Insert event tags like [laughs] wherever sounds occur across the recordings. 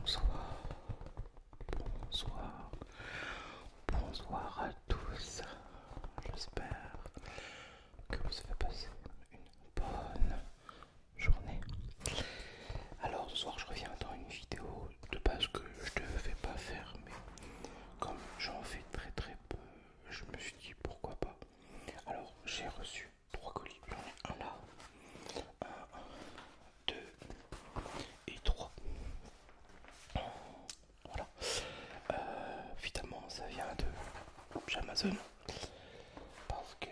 Bonsoir, bonsoir, bonsoir à tous. J'espère que vous avez passé une bonne journée. Alors ce soir je reviens dans une vidéo de base que je ne devais pas fermer comme j'en fais très très peu, je me suis dit pourquoi pas. Alors j'ai reçu trois colis, j'en ai un là, un, deux et trois. Voilà. évidemment, euh, ça vient de Amazon parce que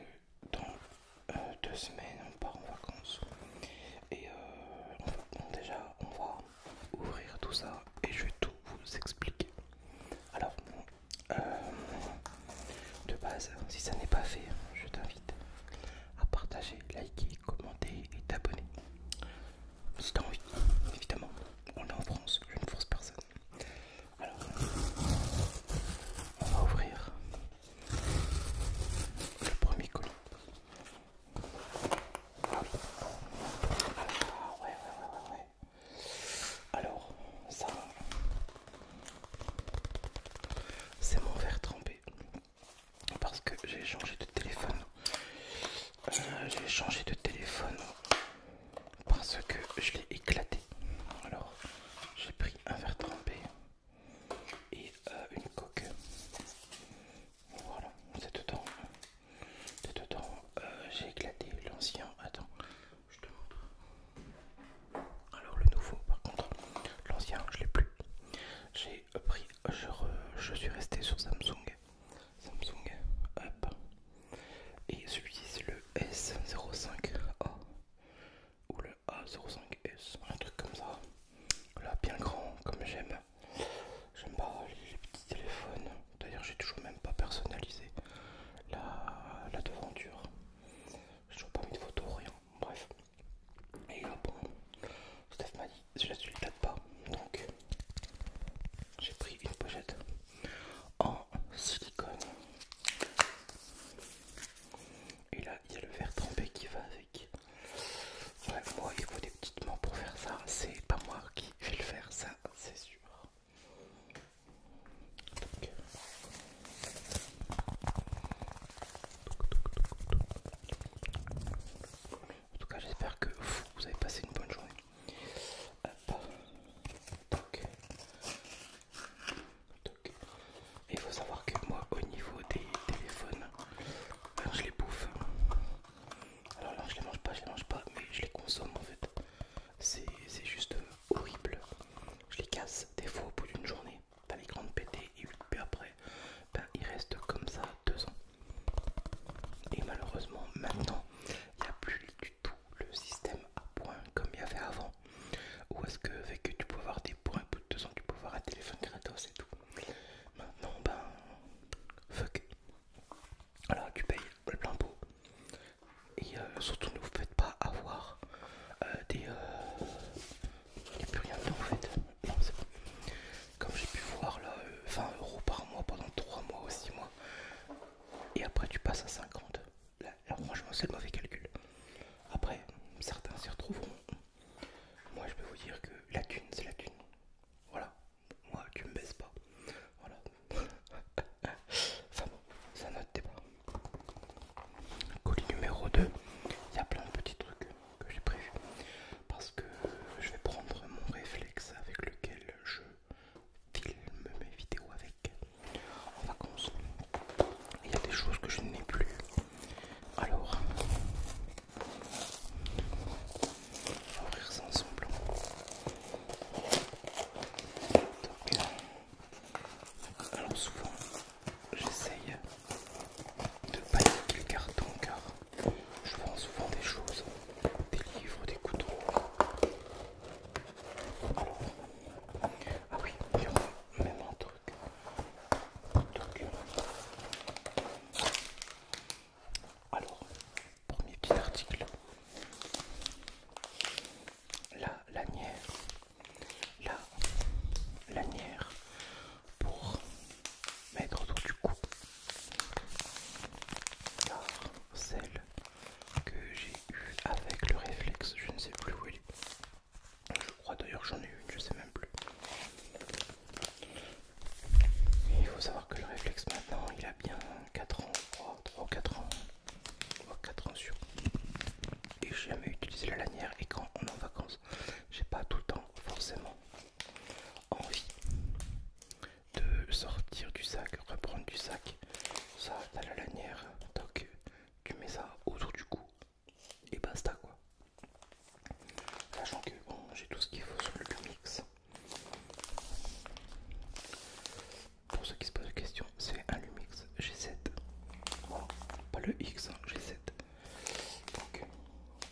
dans euh, deux semaines on part en vacances et euh, déjà on va ouvrir tout ça et je vais tout vous expliquer. Alors, euh, de base, si ça n'est pas fait, je t'invite à partager, liker, commenter et t'abonner. Si t'as envie, évidemment, on est en France, je ne force personne. Alors, on va ouvrir le premier colis. Ah Alors, ça, c'est mon verre trempé. Parce que j'ai changé de téléphone. Euh, j'ai changé de téléphone parce que je l'ai éclaté. Alors, j'ai pris un verre trempé et euh, une coque. Voilà, c'est dedans. Euh, c'est dedans. Euh, j'ai éclaté l'ancien. Attends, je te montre. Alors le nouveau, par contre, l'ancien, je l'ai plus. J'ai euh, pris, je, suis resté sur Samsung. Samsung, hop. Et celui-ci, c'est le S05A. Ou le A05S, un truc comme ça. là bien grand, comme j'aime. J'aime pas les petits téléphones. D'ailleurs, j'ai toujours même pas personnalisé la, devanture. J'ai toujours pas mis de photo, rien. Bref. Et là, bon, Steph m'a dit je la suis date pas. Donc, j'ai pris une pochette en silicone. Et là, il y a le verre trempé qui va moi, il faut des petites mains pour faire ça. C'est pas moi qui vais le faire, ça, c'est sûr. En tout cas, j'espère que vous, avez passé une bonne journée il faut savoir que moi, au niveau des téléphones, je les bouffe. Alors là, je les mange pas, je les mange pas, mais je les consomme en fait. C'est juste euh, horrible. Je les casse des fois au bout d'une journée. T'as les grandes pétées et puis après, ils ben, il reste comme ça deux ans. Et malheureusement, maintenant, il n'y a plus du tout le système à points comme il y avait avant. Ou est-ce que, fait que tu peux avoir des points, au bout de deux ans, tu peux avoir un téléphone gratos et tout. Maintenant, ben, fuck. Alors, tu payes le plein pot. Et euh, surtout, ne vous faites pas avoir euh, des. Euh, il n'y a plus rien dedans en fait. Non, Comme j'ai pu voir là, 20 euros par mois pendant 3 mois ou 6 mois. Et après, tu passes à 50. là franchement, c'est le mauvais calcul. Après, certains s'y retrouveront, moi, je peux vous dire que la thune, c'est la thune. Voilà. Moi, tu me baisses pas. Voilà. [laughs] enfin bon, ça note débat. Colis numéro 2. Il y a plein de petits trucs que j'ai prévus. Parce que je vais prendre mon réflexe avec lequel je filme mes vidéos avec en vacances. Il y a des choses que je n'ai plus alors, on va ouvrir son ensemble. Donc, euh, alors souvent, j'essaye de pas niquer le carton car je vends souvent des choses, des livres, des couteaux. Alors, ah oui, il y a même donc, alors, premier petit article. La lanière. La lanière pour mettre autour du cou. Car celle que j'ai eue avec le réflexe, je ne sais plus où elle est. Je crois d'ailleurs j'en ai une, je sais même plus. il faut savoir que le réflexe maintenant, il a bien 4 ans, 3, ou 4 ans. 3, 4 ans sur. Et j'ai jamais utilisé la lanière et quand on est en vacances, j'ai pas tout le temps forcément envie de sortir du sac, reprendre du sac. Ça, as la lanière, donc tu mets ça autour du cou, et basta quoi. Sachant que j'ai tout ce qu'il faut sur le Lumix. Pour ceux qui se posent des questions, c'est un Lumix G7. pas le X, hein, G7. Donc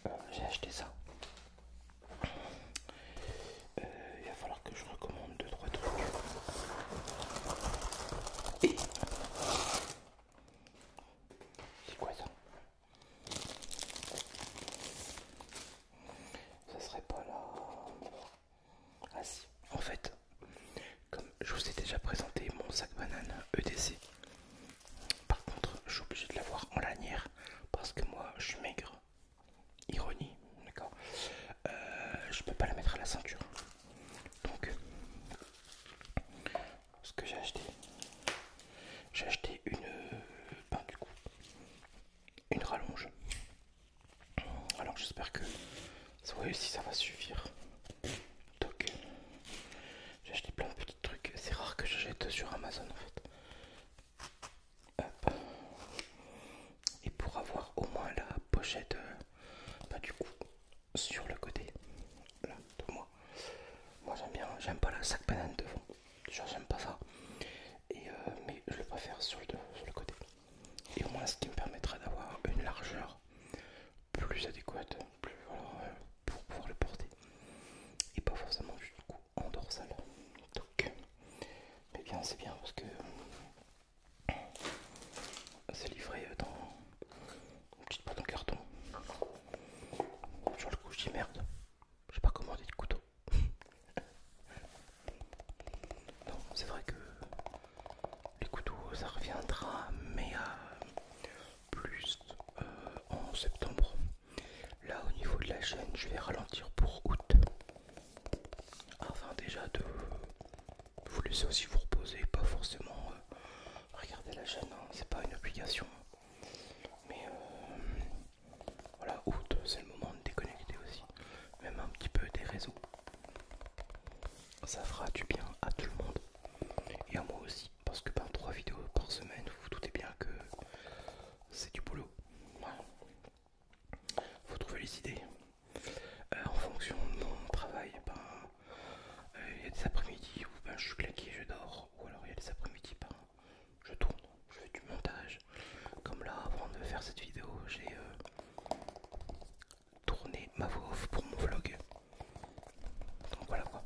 euh, j'ai acheté ça. Euh, il va falloir que je recommande deux trois trucs. Et... C'est quoi ça Ça serait pas là... Ah si, en fait, comme je vous ai déjà présenté mon sac banane EDC, par contre je suis obligé de l'avoir en lanière parce que moi je suis maigre, ironie, d'accord, euh, je peux pas la mettre à la ceinture. Donc, ce que j'ai acheté, j'ai acheté une, ben, du coup, une rallonge. Alors j'espère que si ça va suffire. Donc, j'ai acheté plein de petits trucs. C'est rare que j'achète sur Amazon en fait et pour avoir au moins la pochette euh, bah, du coup sur le côté là de moi moi j'aime bien j'aime pas la sac banane devant j'aime pas ça et euh, mais je le préfère sur le, sur le côté et au moins ce qui me permettra d'avoir une largeur plus adéquate plus euh, pour pouvoir le porter et pas forcément du coup en dorsale donc mais bien c'est bien parce que c'est livré dans une petite boîte en carton. Sur le coup, je dis merde, j'ai pas commandé de couteau. [laughs] non, c'est vrai que les couteaux ça reviendra, mais à euh, plus euh, en septembre. Là, au niveau de la chaîne, je vais ralentir pour août Enfin, déjà de vous laissez aussi vous reposer, pas forcément euh, regarder la chaîne, hein. c'est pas une obligation. Mais euh, voilà, août, c'est le moment de déconnecter aussi, même un petit peu des réseaux. Ça fera du bien à tout le monde et à moi aussi, parce que par ben, trois vidéos par semaine, vous vous doutez bien que c'est du boulot faut trouver les idées. Euh, en fonction de mon travail, il ben, euh, y a des après-midi où ben, je suis claqué, je dors, ou alors il y a des après-midi où ben, je tourne, je fais du montage. Comme là, avant de faire cette vidéo, j'ai euh, tourné ma voix off pour mon vlog. Donc voilà quoi.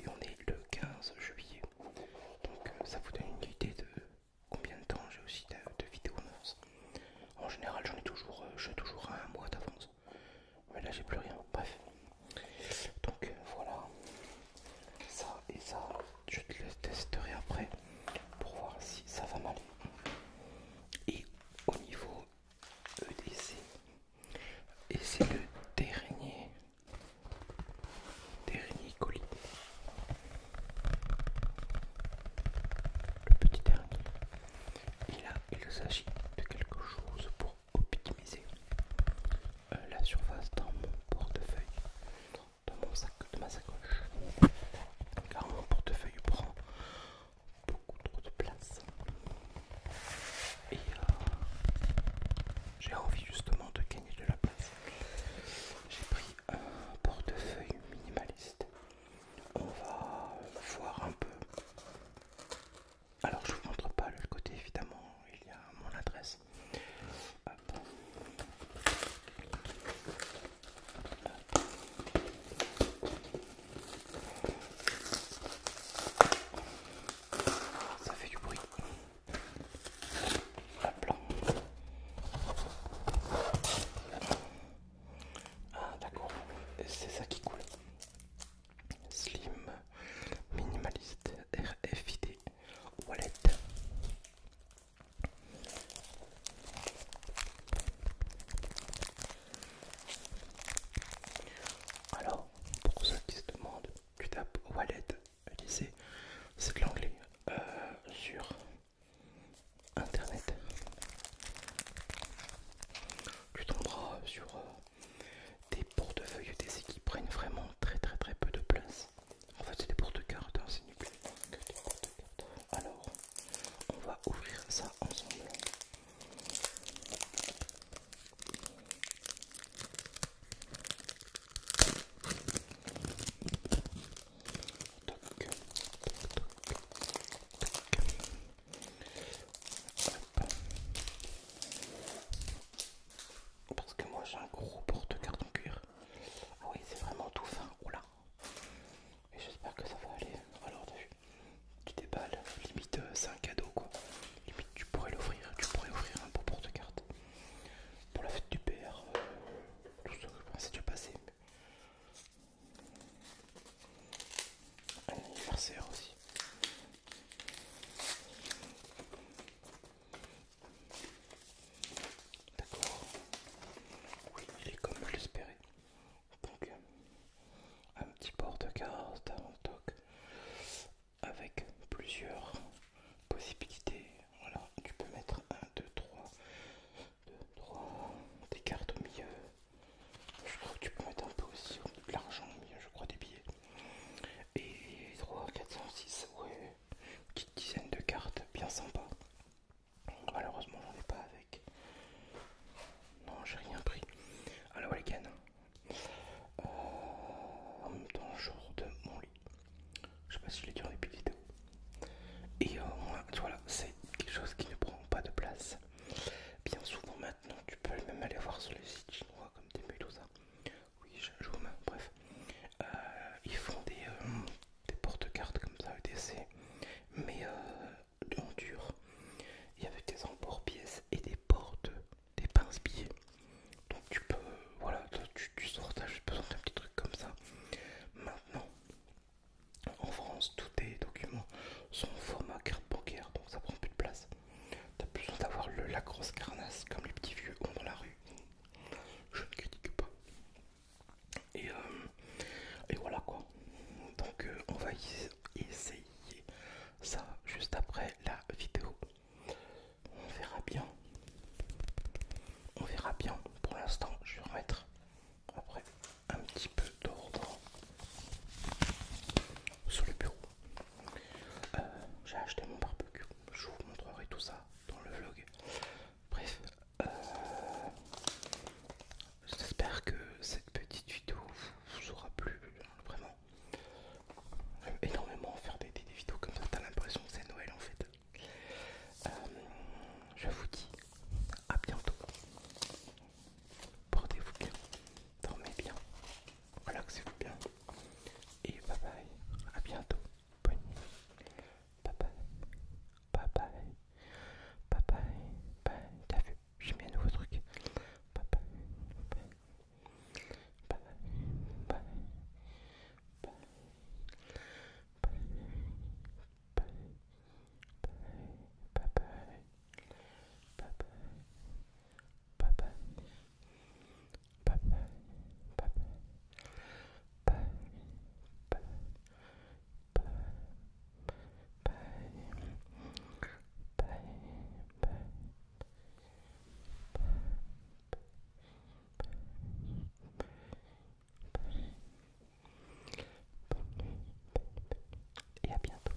Et on est le 15 juillet. Donc ça vous donne une idée de combien de temps j'ai aussi de, vidéo vidéos en général, j'en ai toujours, euh, toujours un mois d'avance. Mais là, j'ai plus rien. Bref. Donc euh, voilà. Ça et ça, je te le testerai après pour voir si ça va m'aller. Et au niveau EDC, et c'est le dernier, dernier colis. Le petit dernier. Et là, il s'agit de quelque chose pour optimiser euh, la surface dans mon portefeuille, dans mon sac, de ma sacoche. Car mon portefeuille prend beaucoup trop de place. Et euh, j'ai envie justement de gagner de la place. J'ai pris un portefeuille minimaliste. On va voir un peu. Alors je vous montre pas le côté évidemment, il y a mon adresse. Ça fait du bruit. Ah d'accord, c'est ça qui coule. Slim, minimaliste, RFID, wallet. Alors, pour ceux qui se demandent, tu tapes wallet c'est de l'anglais euh, sur internet. Tu tomberas sur euh, des portefeuilles des qui prennent vraiment très très très peu de place. En fait, c'est des porte-cartes, hein, c'est nul. Alors, on va ouvrir ça ensemble. Parce que moi j'ai un gros porte-carte en cuir. Ah oui, c'est vraiment tout fin. Oula. Et j'espère que ça va aller. Alors tu déballes. Limite, euh, c'est un cadeau quoi. Limite, tu pourrais l'ouvrir, Tu pourrais ouvrir un beau porte-carte pour la fête du père, euh, tout ce que je pensais déjà passé. Un anniversaire aussi. D'accord. Oui, il est comme je l'espérais. Donc, euh, un petit porte de carte, un toque avec plusieurs possibilités. Voilà, tu peux mettre 1, 2, 3, 3, des cartes au milieu. Je crois que tu peux mettre un peu aussi de l'argent au milieu, je crois, des billets. Et 3, 406, ouais, petite dizaine de cartes, bien sympa. Malheureusement, j'en ai pas avec. Non, j'ai rien pris. Alors, les cannes, euh, en même temps genre de mon lit. Je sais pas si je l'ai dit en début de vidéo. Et euh, voilà, c'est quelque chose qui ne prend pas de place. Bien souvent maintenant, tu peux même aller voir sur les sites chinois comme des et ça. Oui, je joue même, bref. Euh, ils font des, porte-cartes comme ça, EDC, mais euh, en dur. y avec des emports pièces et des portes des pince billets. Donc tu peux, voilà, tu, sors, tu besoin d'un petit truc comme ça. Maintenant, en France, tous tes documents sont en format carte bancaire, donc ça prend plus de place. T'as plus besoin d'avoir la grosse carnasse comme les petits vieux ont dans la rue. Je ne critique pas. Et, euh, voilà quoi. Donc euh, on va essayer ça juste après la vidéo. On verra bien. On verra bien. Pour l'instant, je vais remettre après un petit peu d'ordre sur le bureau. Euh, j'ai acheté mon barbecue. Je vous montrerai tout ça dans le vlog. Bref, euh, j'espère que cette petite vidéo vous aura plu. Vraiment, J'aime énormément faire des, vidéos comme ça, t'as l'impression que c'est Noël en fait. Euh, je vous dis à bientôt. Portez-vous bien, dormez bien, relaxez-vous bien. Et bye bye, à bientôt. Bonne nuit. Bye bye, bye bye, bye bye, bye. T'as vu, j'ai mis un nouveau truc. Bye bye, bye bye, bye, bye, bye, bye, et à bientôt.